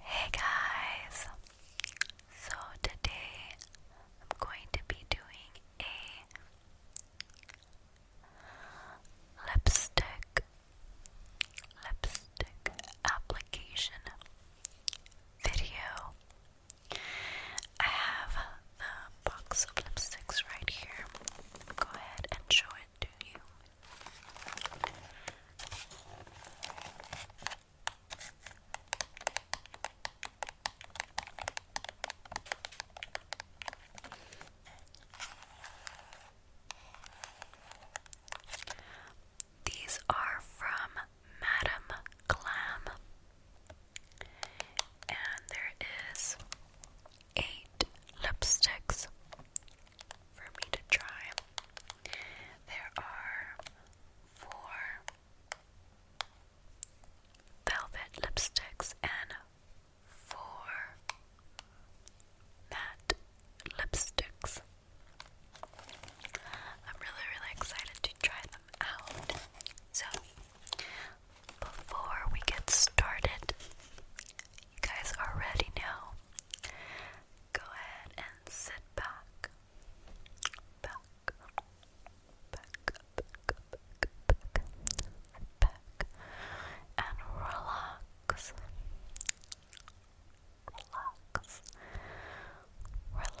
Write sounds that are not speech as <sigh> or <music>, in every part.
Hey guys! So today I'm going to be doing a lipstick lipstick application video I have the box of lipsticks right here. Go ahead and show it to you. These are from Madame Glam. And there is eight lipsticks for me to try. There are four velvet lipsticks and four matte lipsticks. I'm really, really excited to try them out. So, before we get started, you guys are ready now. Go ahead and sit back. Back. Back, back, back, back, and relax. Relax, relax,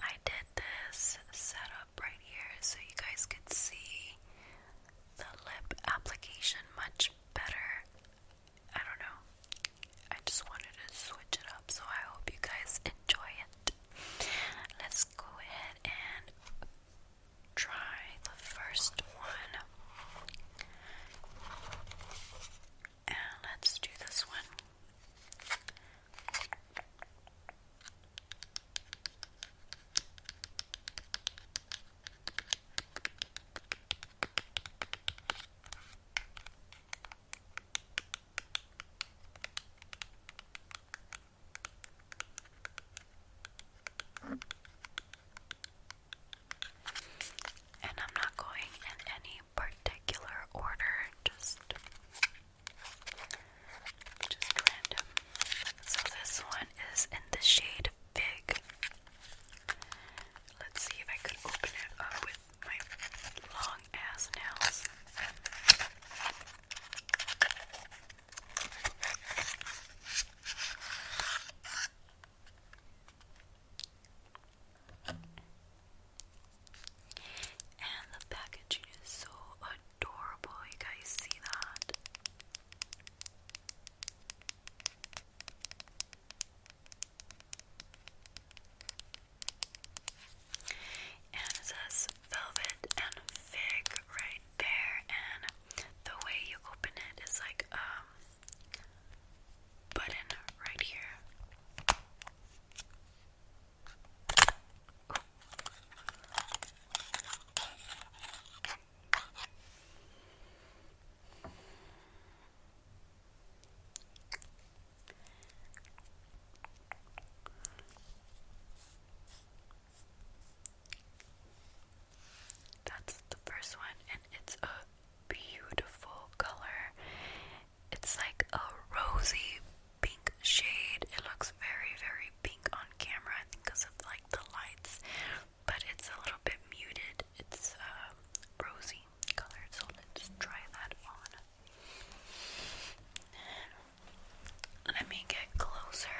I did this setup right here so you guys could see the lip application much better. I don't know. I just wanted to switch it up, so I hope you guys enjoy it. Let's go ahead and try the first one. And let's do this one. And I'm not going in any particular order, just just random. So this one is in the shade Fig. Let's see if I could open it up with my long ass nails. And the packaging is so adorable. You guys see that? And it says velvet and fig right there, and the way you open it is like um, button right here. That's the first one, and it's a beautiful color. It's like a rosy pink shade. It looks very, very pink on camera, I think, because of like the lights, but it's a little bit muted. It's um, rosy color. so let's try that on. Let me get closer.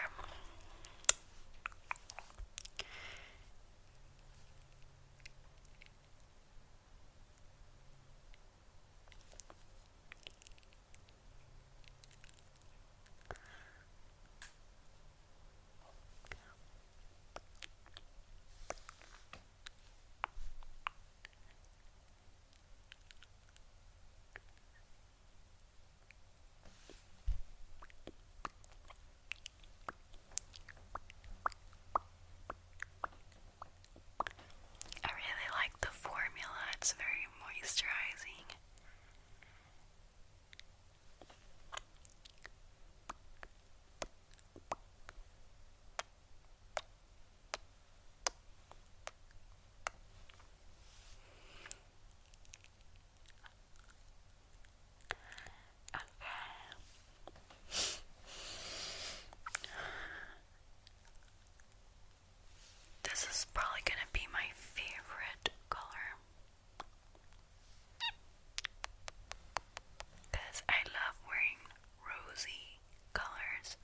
I really like the formula, it's very moisturizing. Okay. This is probably going to be my favorite color. Because I love wearing rosy colors.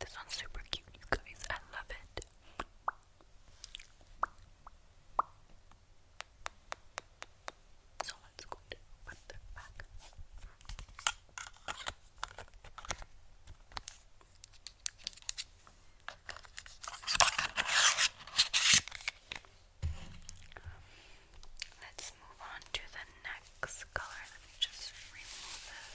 This one's super cute, you guys. I love it let's move on to the next color. Let me just remove this.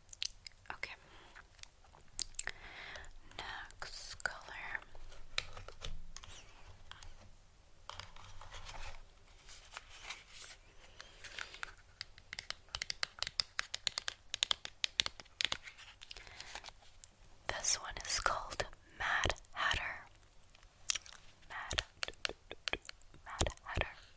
Okay. Next color. This one is called Mad Hatter. Mad, Mad Hatter.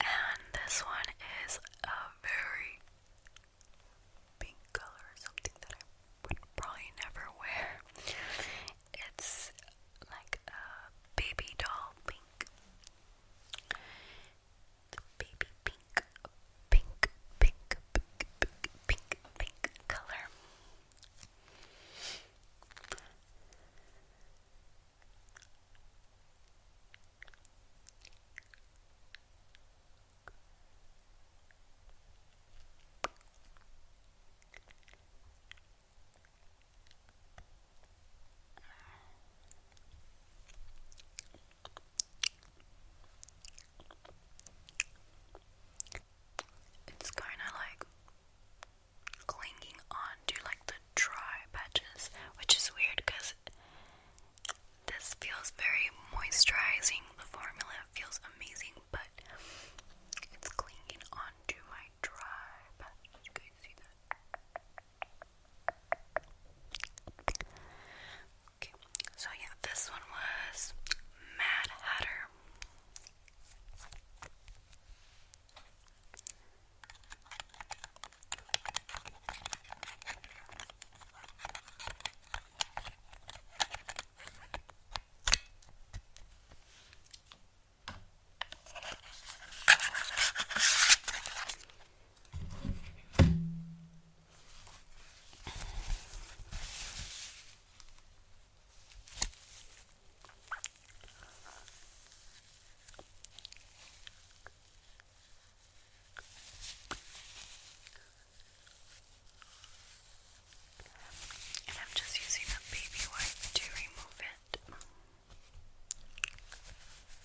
And this one is a very pink color, something that I would probably never wear. It's like a baby doll pink the baby pink, pink, pink, pink, pink, pink, pink color. It's kind of like clinging on to like the dry patches, which is weird because this feels very moisturizing. The formula feels amazing, but it's clinging on to my dry so yeah, this one was Mad Hatter. And I'm just using a baby wipe to remove it.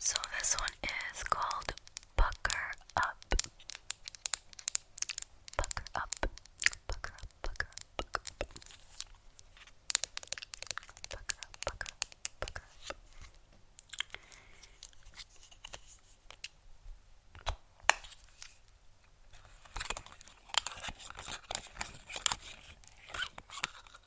So this one is called Bucker Up. Bucker Up. Bucker Up. Bucker Up. Bucker Up. Bucker Up. Bucker Up. Bucker Up.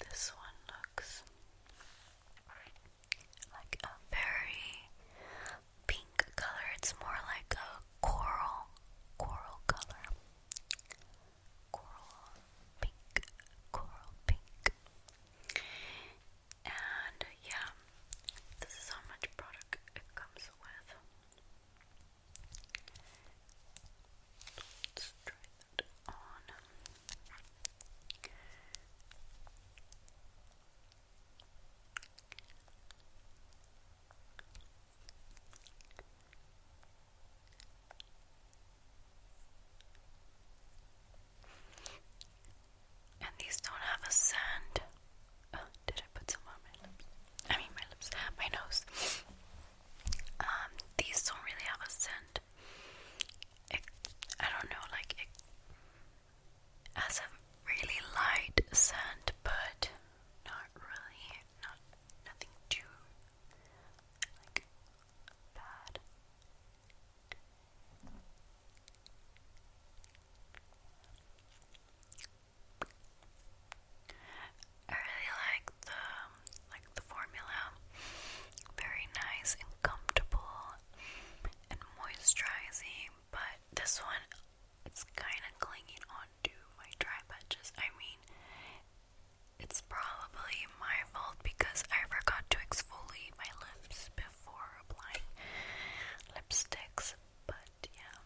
This one looks like a very pink color. It's more like a coral, coral color. Coral pink, coral pink. And yeah, this is how much product it comes with. Let's try that on. And these don't have a scent. Oh, did I put some on my lips? I mean, my lips, my nose. Um, these don't really have a scent. It, I don't know, like it has a really light scent, but not really, not nothing too like bad. I really like the like the formula. Very nice and comfortable and moisturizing, but this one it's kind of clinging onto my dry patches. I mean, it's probably marveled because I forgot to exfoliate my lips before applying lipsticks, but yeah.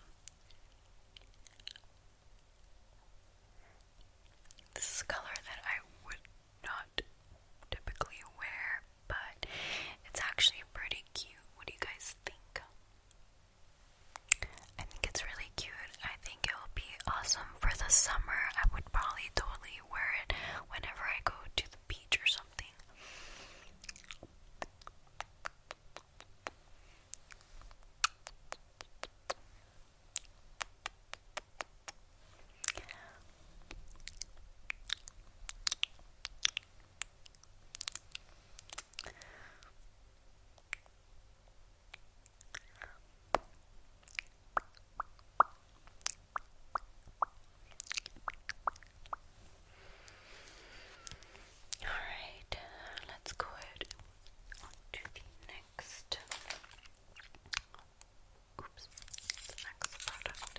This is a color that I would not typically wear, but it's actually pretty cute. What do you guys think? I think it's really cute. I think it will be awesome for the summer. I would probably totally wear it whenever I go to the beach or something. Alright, let's go ahead to the next. Oops, next product.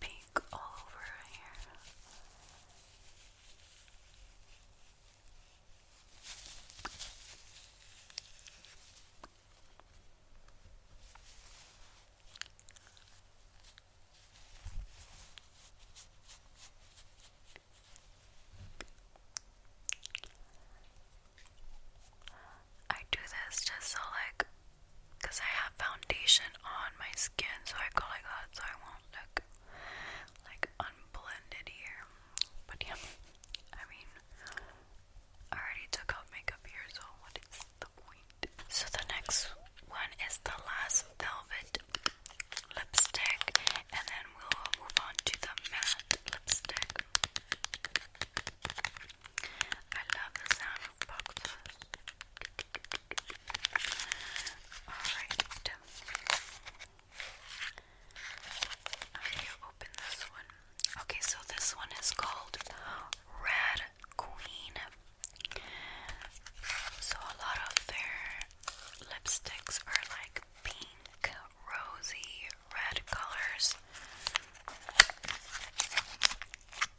pink all over here. I do this just so, like, because I have foundation on my skin, so I call it that so I won't look like unblended here. But yeah, I mean, I already took off makeup here, so what is the point? So the next one is the last velvet lipstick, and then we'll move on to the matte lipstick. I love the sound boxes. Alright. How do you open this one? Okay, so this one is called Red Queen. So a lot of their lipsticks are like pink, rosy, red colors.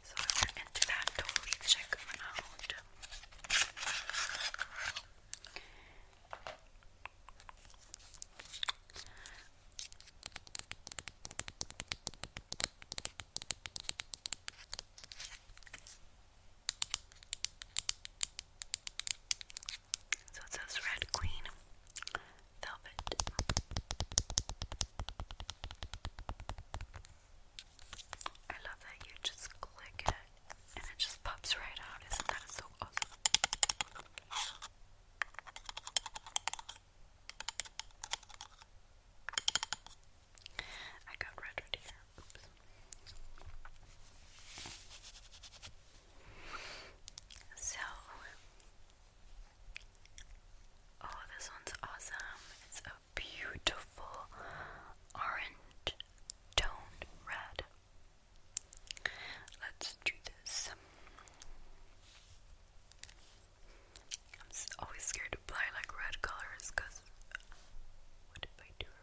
So I went into that totally check them out. So it says Red Queen Velvet. I love that you just click it and it just pops right out. Isn't that so awesome? I got red right here. Oops. So, oh, this one's awesome. It's beautiful orange toned red. Let's do this. I'm always scared to apply like red colors because what if I do wrong?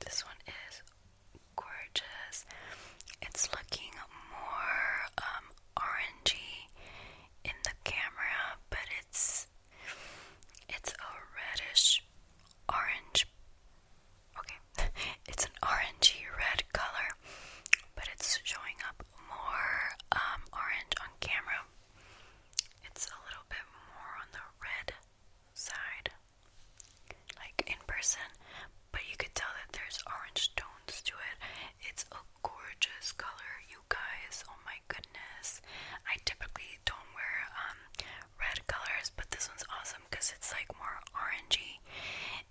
This one is gorgeous. It's looking more um, orangey in the camera, but it's it's a reddish orange. Okay, <laughs> it's an orangey red color but it's showing up more um, orange on camera. It's a little bit more on the red side, like in person, but you could tell that there's orange tones to it. It's a gorgeous color, you guys. Oh my goodness. I typically don't wear um, red colors, but this one's awesome because it's like more orangey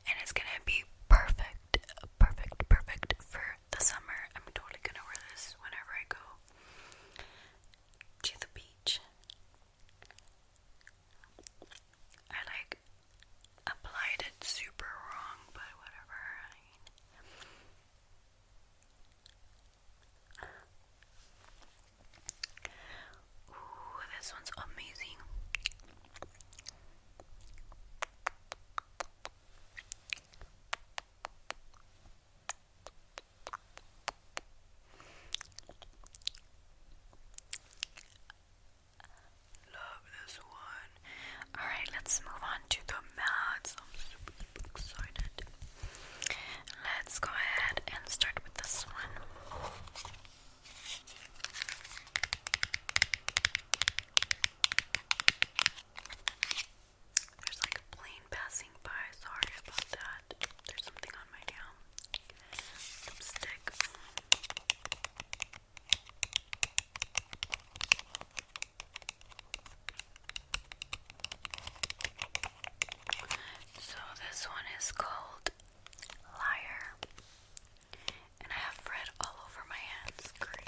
and it's gonna be perfect, perfect, perfect for the summer. I'm totally gonna wear this whenever I go to the beach. I like applied it super wrong, but whatever. Ooh, this one's amazing. Love this one. Alright, let's move on to the mats. I'm super, excited. Let's go ahead and start with this one. There's like a plane passing by. Sorry about that. There's something on my nail. Lipstick. So this one is called Liar. And I have red all over my hands.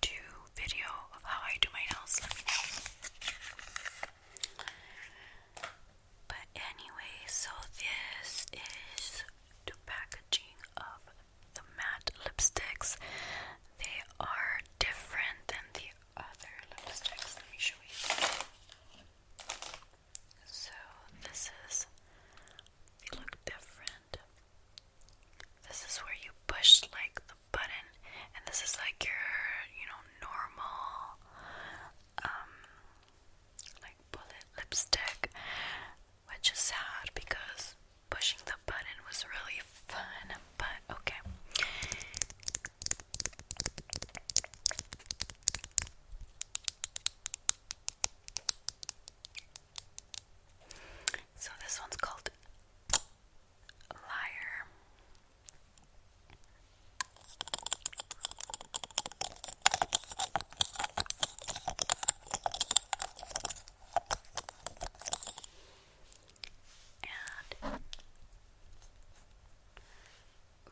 do video of how I do my nails, But anyway, so this is the packaging of the matte lipsticks. They are different than the other lipsticks. Let me show you. So this is they look different. This is where you push like the button, and this is like your, you know, normal, um, like bullet lipstick, which is sad because pushing the button was really fun, but okay. So, this one's called Liar. And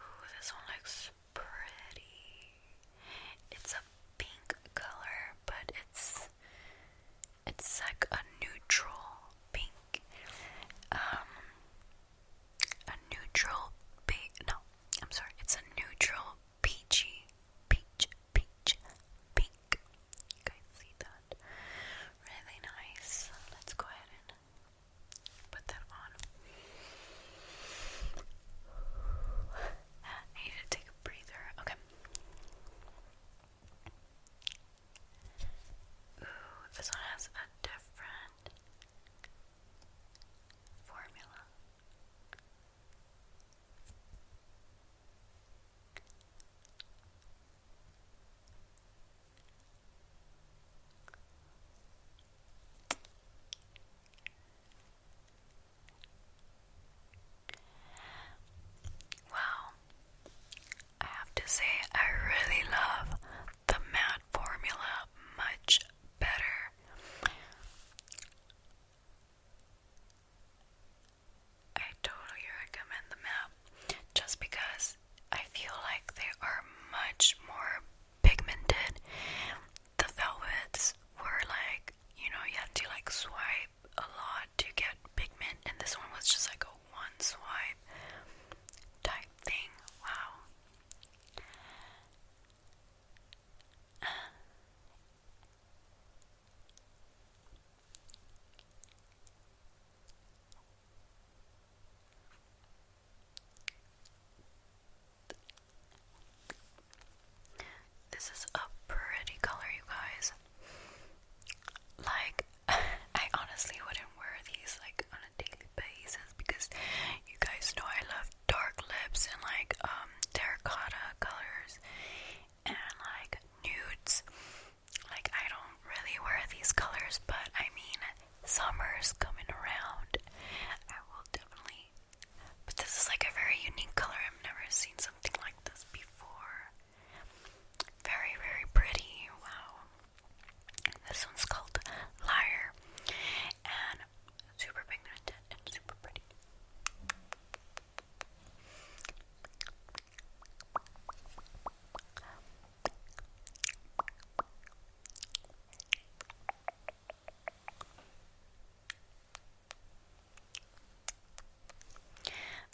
ooh, this one looks pretty. It's a pink color, but it's it's like a neutral pink. Um, a neutral No, I'm sorry. It's a neutral peachy, peach, peach, pink. You guys see that? Really nice. Let's go ahead and put that on. I to take a breather. Okay. Ooh, this one has a different formula. Wow, I have to say, I really love the matte formula much better. I totally recommend the matte just because I feel like they are much more pigmented. The velvets were like, you know, you have to like swipe a lot to get pigment, and this one was just like a one swipe type thing. Wow. This is a pretty color, you guys. Like, <laughs> I honestly wouldn't wear these like on a daily basis because you guys know I love dark lips and like um terracotta colors and like nudes. Like I don't really wear these colors, but I mean summer is coming around. I will definitely but this is like a very unique color. I've never seen something like this before. Very, very pretty. Wow. This one's called Liar. And super pigmented and super pretty.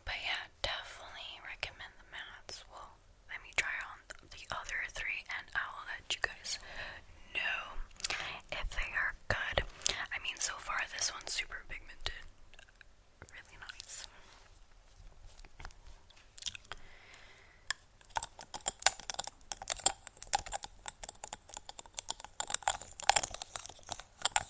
But yeah, definitely recommend the mats. Well, let me try on the other three and I will let you guys know if they are good. I mean, so far this one's super pigmented. Really nice. Go ahead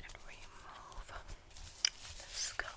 and remove this color.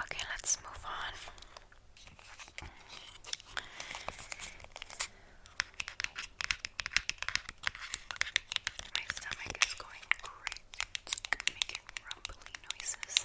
Okay, let's move on. My stomach is going crazy. making rumbly noises.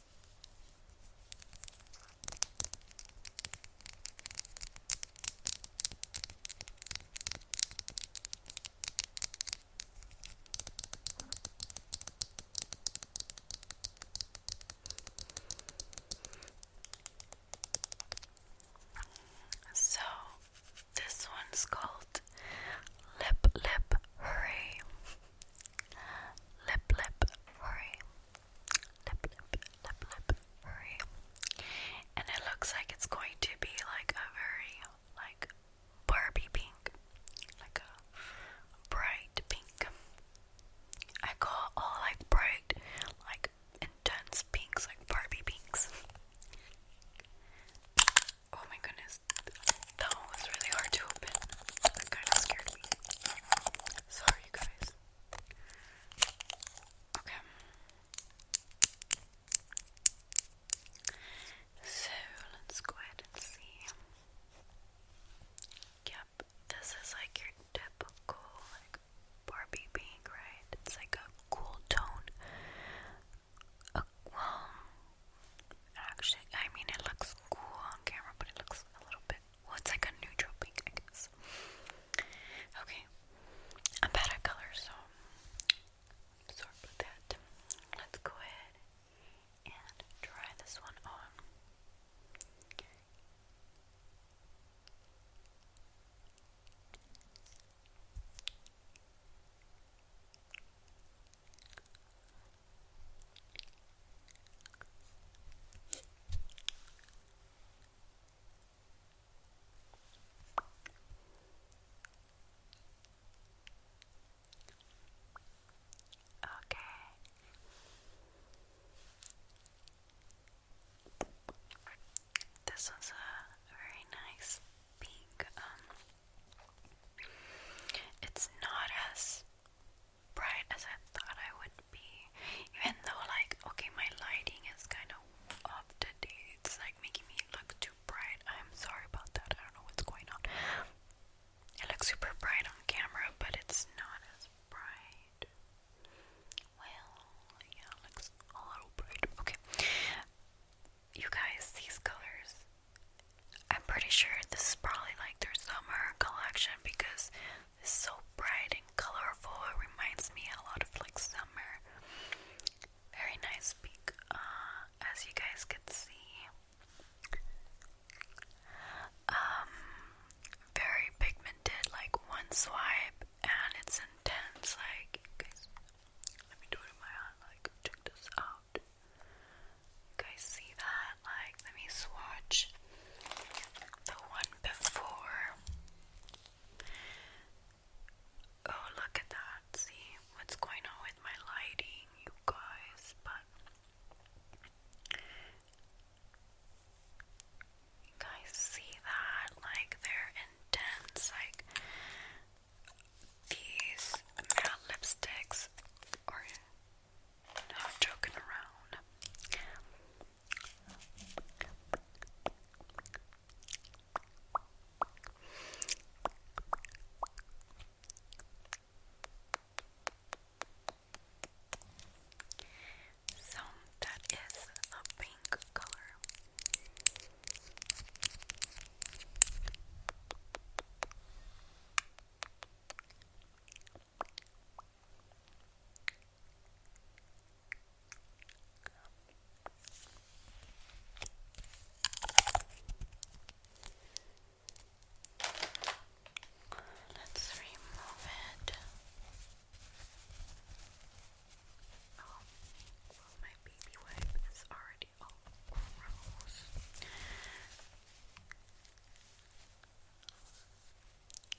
So, this one's called Lip Lip Hurry. Lip Lip Hurry. Lip Lip Lip Lip Hurry. And it looks like it's going to be like a very like Barbie pink. Like a bright pink. I call all like bright, like intense pinks, like Barbie pinks. Oh my goodness. That one was really hard to open. That kind of scared me. Sorry, you guys. Okay. So let's go ahead and see. Yep, this is like your typical like Barbie pink, right? It's like a cool tone. Uh, well, actually, I mean, it looks cool on camera, but it looks a little bit well, it's like a neutral pink, I guess. Okay. I'm bad so sorry about that. Let's go ahead and try this one on. Okay. This was a very nice pink. Um, it's not us bright as I thought I would be. Even though, like, okay, my lighting is kind of off today. It's like making me look too bright. I'm sorry about that. I don't know what's going on. It looks super bright on camera, but it's not as bright. Well, yeah, looks a little bright. Okay. You guys, these colors. I'm pretty sure this is probably like their summer collection because is so bright and colorful. It reminds me a lot of like summer. Very nice peak, uh, as you guys could see. Um, very pigmented, like one swipe, and it's intense. Like, let me do it in my eye. Like, check this out. You guys see that? Like, let me swatch the one before. Oh, look at that. See what's going on with my lighting, you guys. But you guys see that? Like, they're intense. Like, these lipsticks or I'm joking around. So that is a pink color. Let's remove it. Oh, well, my baby wipe is already all gross.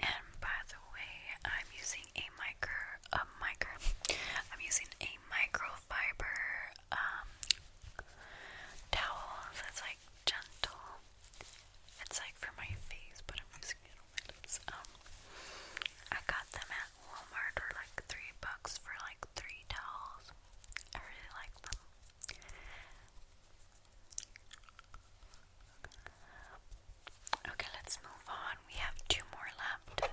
And by the way, I'm using a micro, a micro, I'm using a microfiber um, towel that's like gentle. It's like for my face, but I'm using it on my lips. Um, I got them at Walmart for like three bucks for like three towels. I really like them. Okay, let's move on. We have two more left.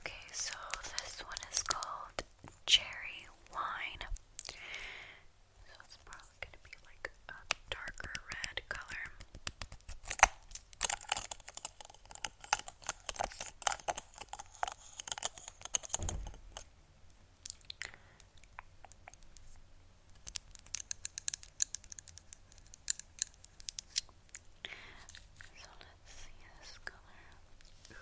Okay, so this one is called Cherry Wine. So it's probably going to be like a darker red color. So let's see this color.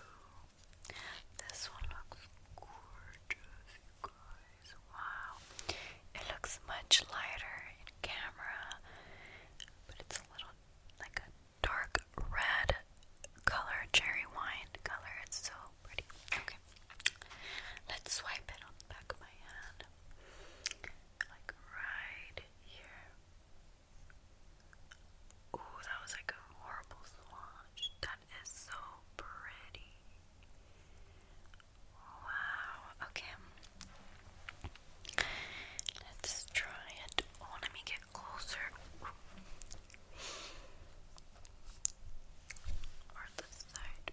this one looks gorgeous, you guys. Wow. It looks much lighter in camera, but it's a little like a dark red color, cherry wine color. It's so pretty. Okay. Let's swipe it on the back of my hand. Like right here. Ooh, that was like a horrible swatch. That is so pretty. Wow. Okay. Let's try it. Oh, let me get closer. Or this side.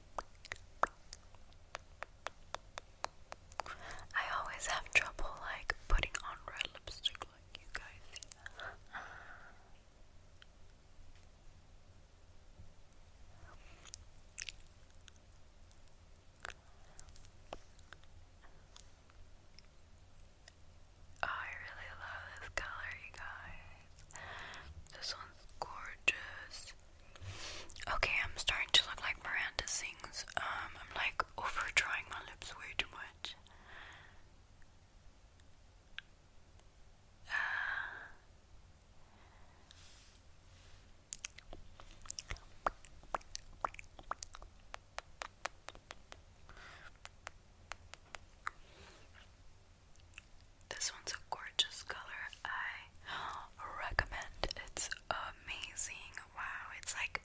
I always have trouble like putting on red lipstick like you guys. I really love this color, you guys. This one's gorgeous. Okay, I'm starting to look like Miranda Sings. Um, I'm like over drawing my lips way too much. This one's a gorgeous color. I recommend it's amazing. Wow, it's like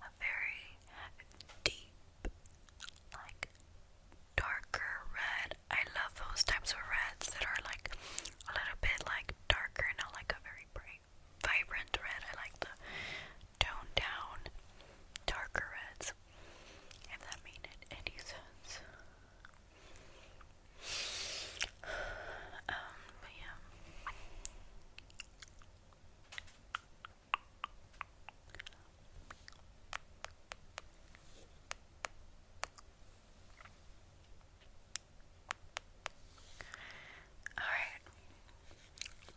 a very deep, like darker red. I love those types of reds that are like a little bit like darker, not like a very bright, vibrant red. I like the toned down, darker reds. If that made any sense. <sighs> Um, but yeah. All right.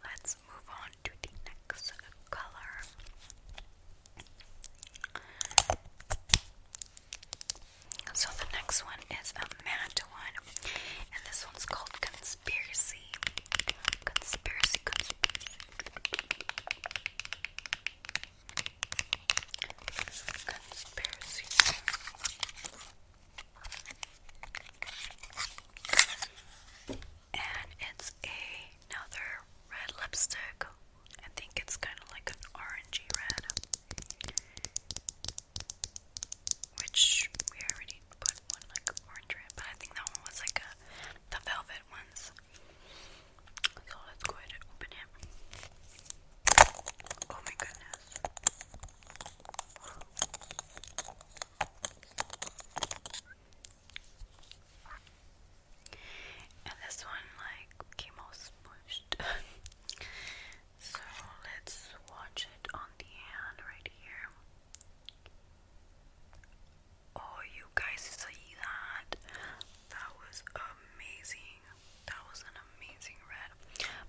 Let's move on to the next color. So the next one is a mad one, and this one's called Conspiracy. Conspiracy, conspiracy. Conspiracy. And it's another red lipstick I think it's kind of like an orangey red, which we already put one like orange red, but I think that one was like a the velvet ones. So let's go ahead and open it. Oh my goodness and this one like came all <laughs> so let's watch it on the hand right here. Oh, you guys see that? That was amazing. That was an amazing red.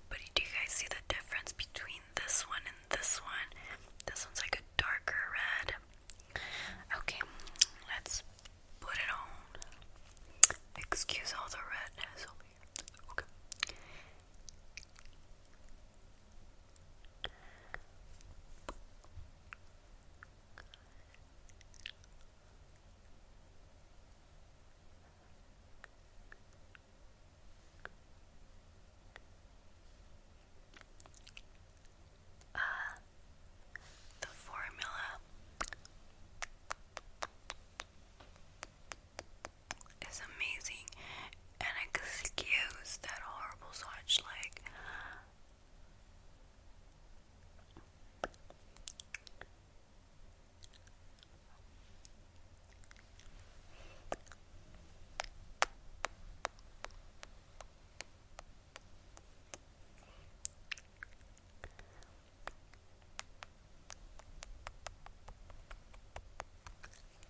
But do you guys see the difference between this one and this one? This one's like a darker red. Okay, let's Put it on. Excuse all the redness Okay. Uh, the formula is amazing and excuse that horrible swatch like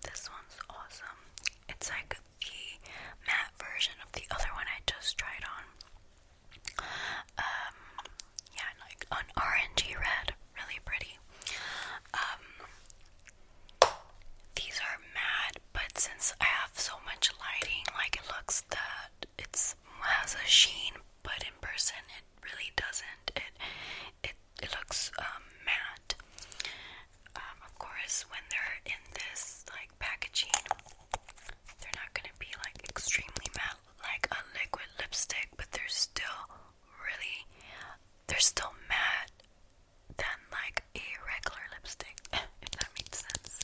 this one's awesome. It's like the matte version of the other one I just tried on. Um, yeah, like an orangey red, really pretty. Um, these are matte, but since I have so much lighting, like it looks that it's has a sheen, but in person it really doesn't. It it it looks um, matte. Um, of course, when they're in this like packaging, they're not gonna be like extremely matte like a liquid lipstick, but they're still really they're still matte than like a regular lipstick, <laughs> if that makes sense.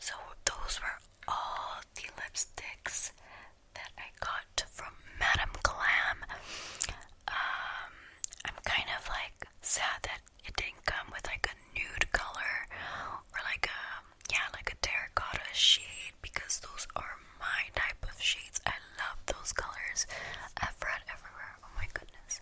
So those were all the lipsticks that I got from Madame Glam. Um, I'm kind of like sad that it didn't come with like a nude color or like a yeah, like a terracotta shade because those are my type of shades. I love those colors. I've read everywhere. Oh my goodness.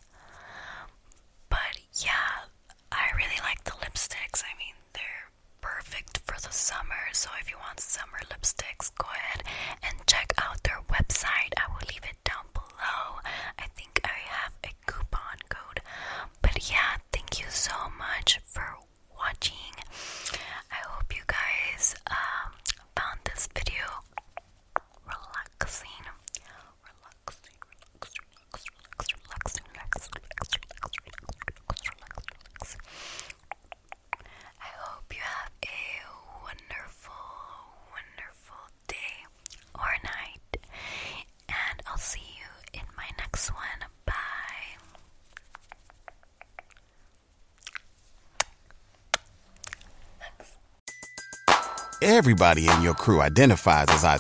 But yeah, I really like the lipsticks. I mean, they're perfect for the summer. So if you want summer lipsticks, go ahead and check out their website. I will leave it down below. I think I have a coupon code. But yeah, thank you so much for watching. I hope you guys um, found this video Relaxing, relaxing. I hope you have a wonderful, wonderful day or night, and I'll see you in my next one. Bye. Everybody in your crew identifies as I